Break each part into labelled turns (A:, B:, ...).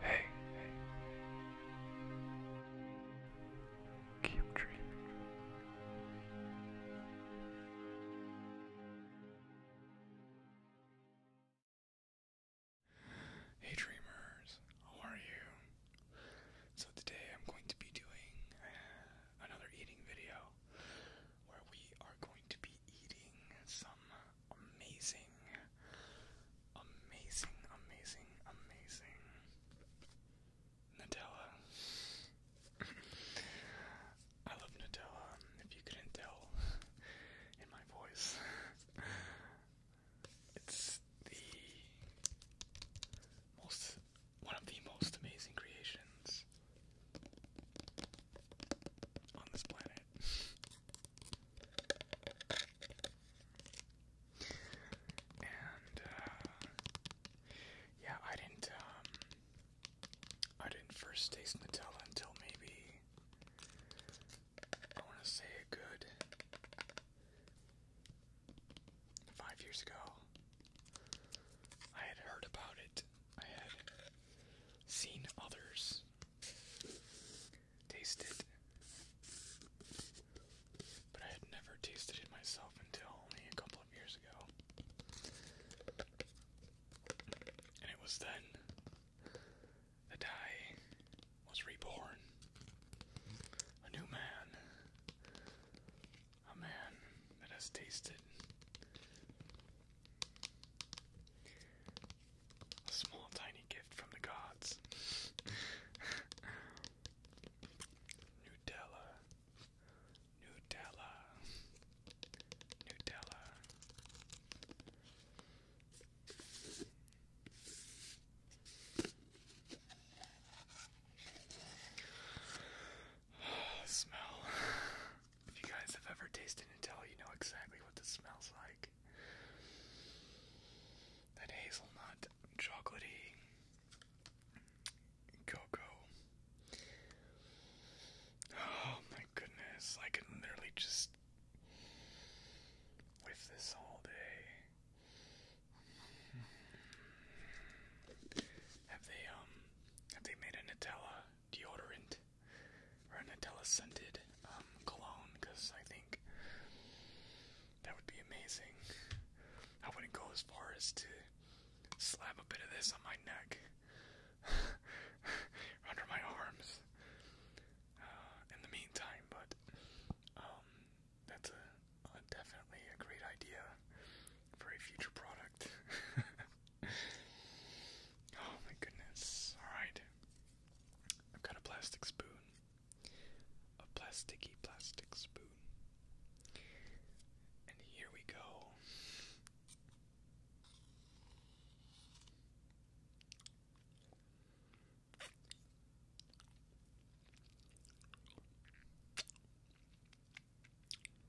A: Hey, Keep dreaming. Hey dreamers, how are you? So today I'm going to be doing uh, another eating video where we are going to be eating some amazing, amazing, amazing, amazing Nutella. I love Nutella, if you couldn't tell in my voice. It's the most, one of the most amazing creations on this planet. And uh, yeah, I didn't. Um, I didn't first taste Nutella until maybe I want to say a good five years ago. I had heard about it. I had seen others taste But I had never tasted it myself until only a couple of years ago. And it was then that I was reborn. A new man. A man that has tasted a small, tiny gift from the gods. Nutella. Nutella. Nutella. Smell. If you guys have ever tasted Nutella, you know exactly what this smells like. That hazelnut, chocolatey, cocoa. Oh my goodness, I can literally just whiff this all day. Have they, um, have they made a Nutella deodorant? or a Nutella scented um, cologne because I think that would be amazing. I wouldn't go as far as to slap a bit of this on my neck, under my arms. Uh, in the meantime, but um, that's definitely a great idea for a future product. Oh my goodness. Alright. I've got a plastic spoon. A plasticky plastic spoon. And here we go.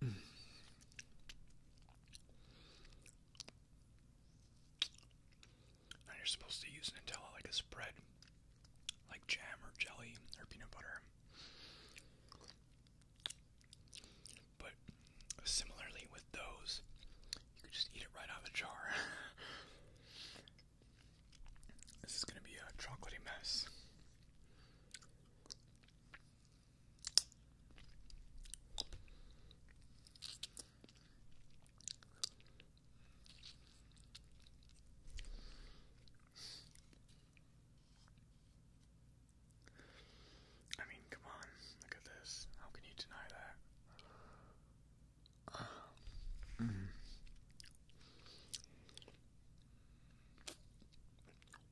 A: Now you're supposed to use Nutella like a spread, like jam or jelly or peanut butter. But similarly with those, you could just eat it right out of the jar. this is gonna be a chocolatey mess. I mean, come on, look at this. How can you deny that? Mm-hmm.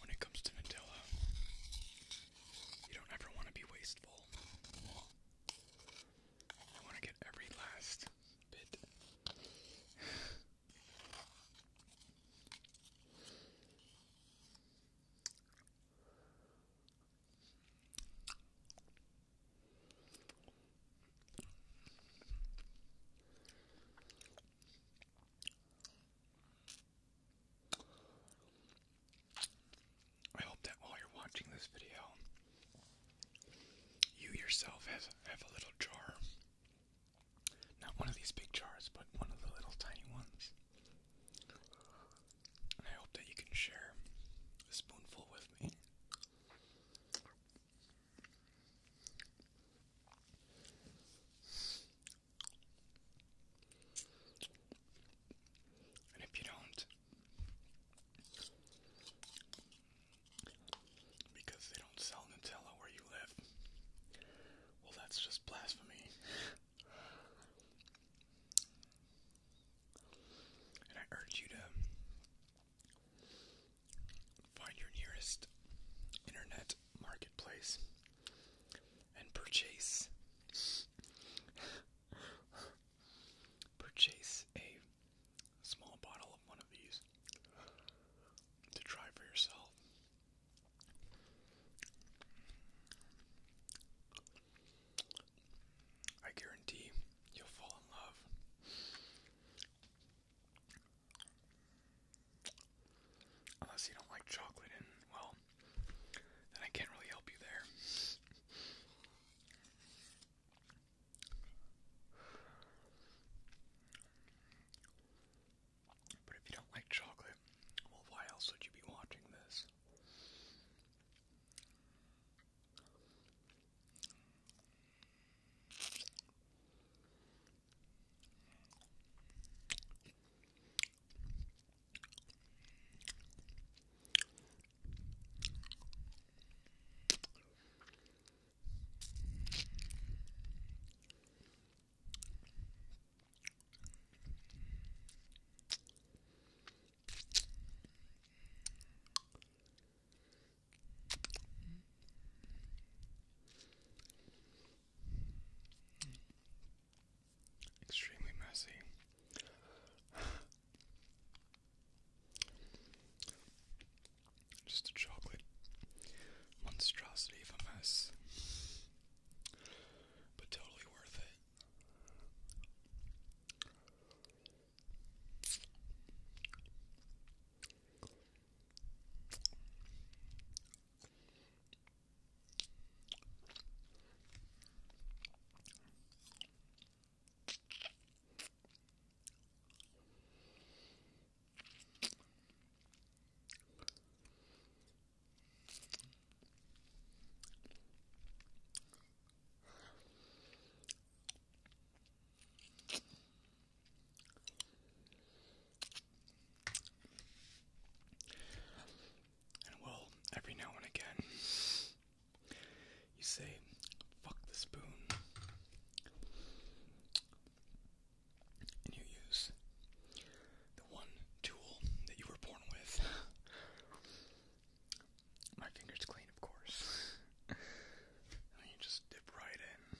A: When it comes to Nutella, you don't ever want to be wasteful. You want to get every last bit. I hope that while you're watching this video, you yourself have, have a little jar. Not one of these big jars, but one of the little tiny ones. I hope that you can share a spoonful with me. And if you don't, because they don't sell Nutella where you live. Well, that's just blasphemy. and I urge you to find your nearest internet marketplace and purchase purchase a small bottle of one of these to try for yourself. I guarantee you'll fall in love. Unless you don't like chocolate, and well, then I can't really help you there. But if you don't like chocolate, well, why else would you be watching this? Extremely messy. Just a chocolate monstrosity of a mess, but totally worth it. And well, every now and again, you say, fuck the spoon. And you use the one tool that you were born with. My finger's clean, of course. you just dip right in.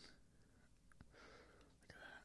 A: Look at that.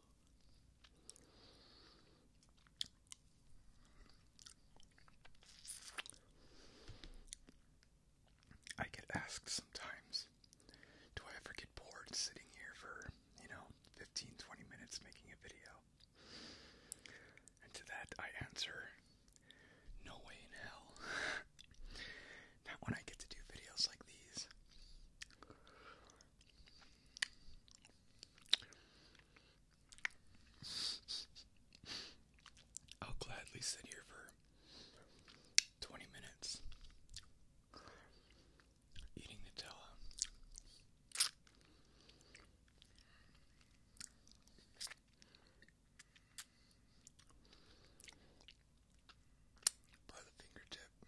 A: I get asked sometimes, do I ever get bored sitting here for, you know, 15 minutes making a video? And to that, I answer, no way in hell. Not when I get to do videos like these. I'll gladly sit here for 20 minutes eating Nutella by the fingertip.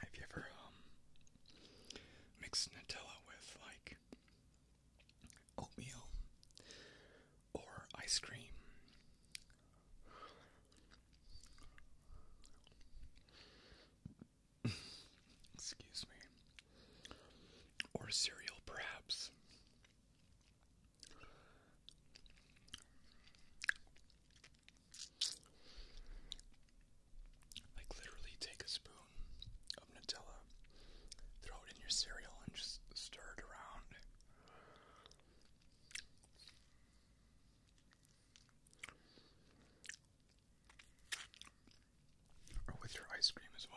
A: Have you ever um, mixed Nutella with like oatmeal or ice cream Excuse me. Or cereal, perhaps. Like, literally, take a spoon of Nutella, throw it in your cereal, and just stir it around. Or with your ice cream as well.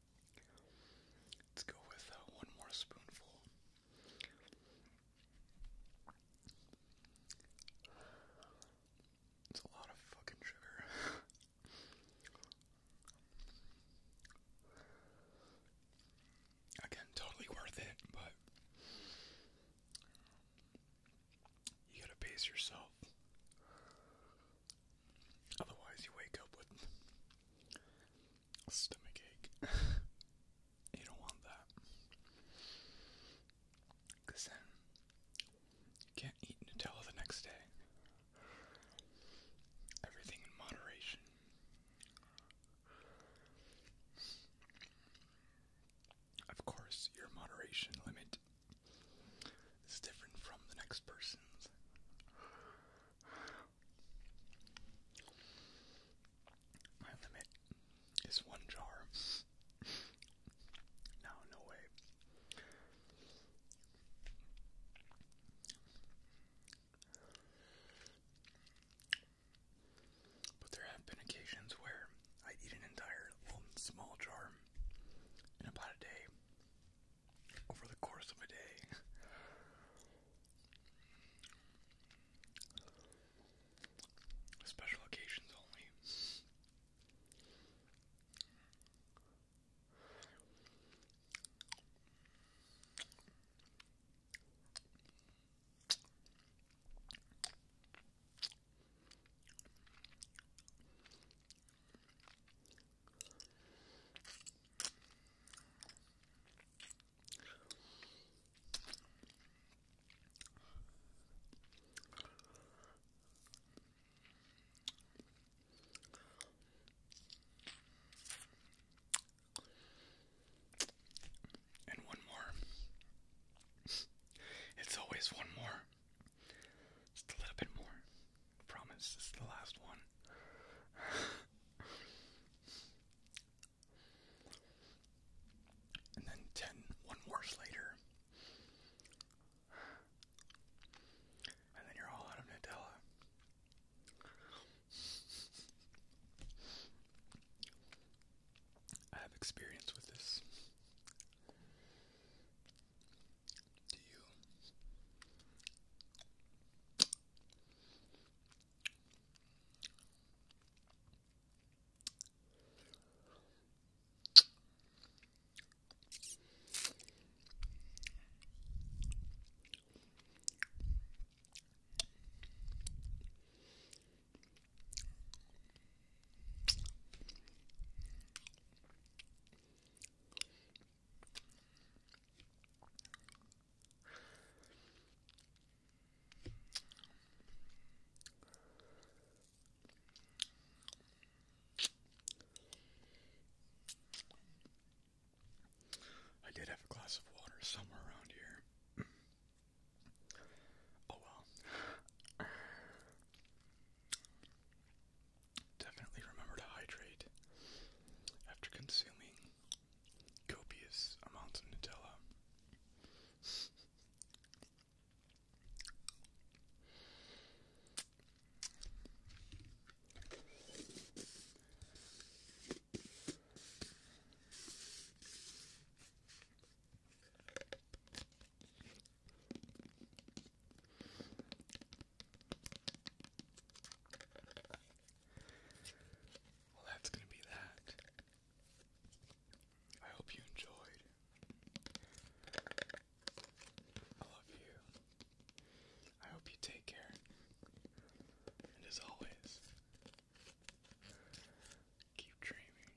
A: Let's go with uh, one more spoonful. It's a lot of fucking sugar. Again, totally worth it, but you gotta pace yourself. Otherwise, you wake up with a stomach ache. you don't want that. Because then you can't eat Nutella the next day. Everything in moderation. Of course, your moderation limit is different from the next person's. My limit is one jar. No, way. But there have been occasions where I eat an entire small jar in about a day over the course of a day. Special occasions only. And one more. It's always one more. Just a little bit more. I promise this is the last one. and then ten one worse later. And then you're all out of Nutella. I have experience with this to you. I did have a glass of water somewhere around here. oh well. Definitely remember to hydrate after consuming copious amounts of Nutella. Well, that's going to be that. I hope you enjoyed. I love you. I hope you take care. And as always, keep dreaming.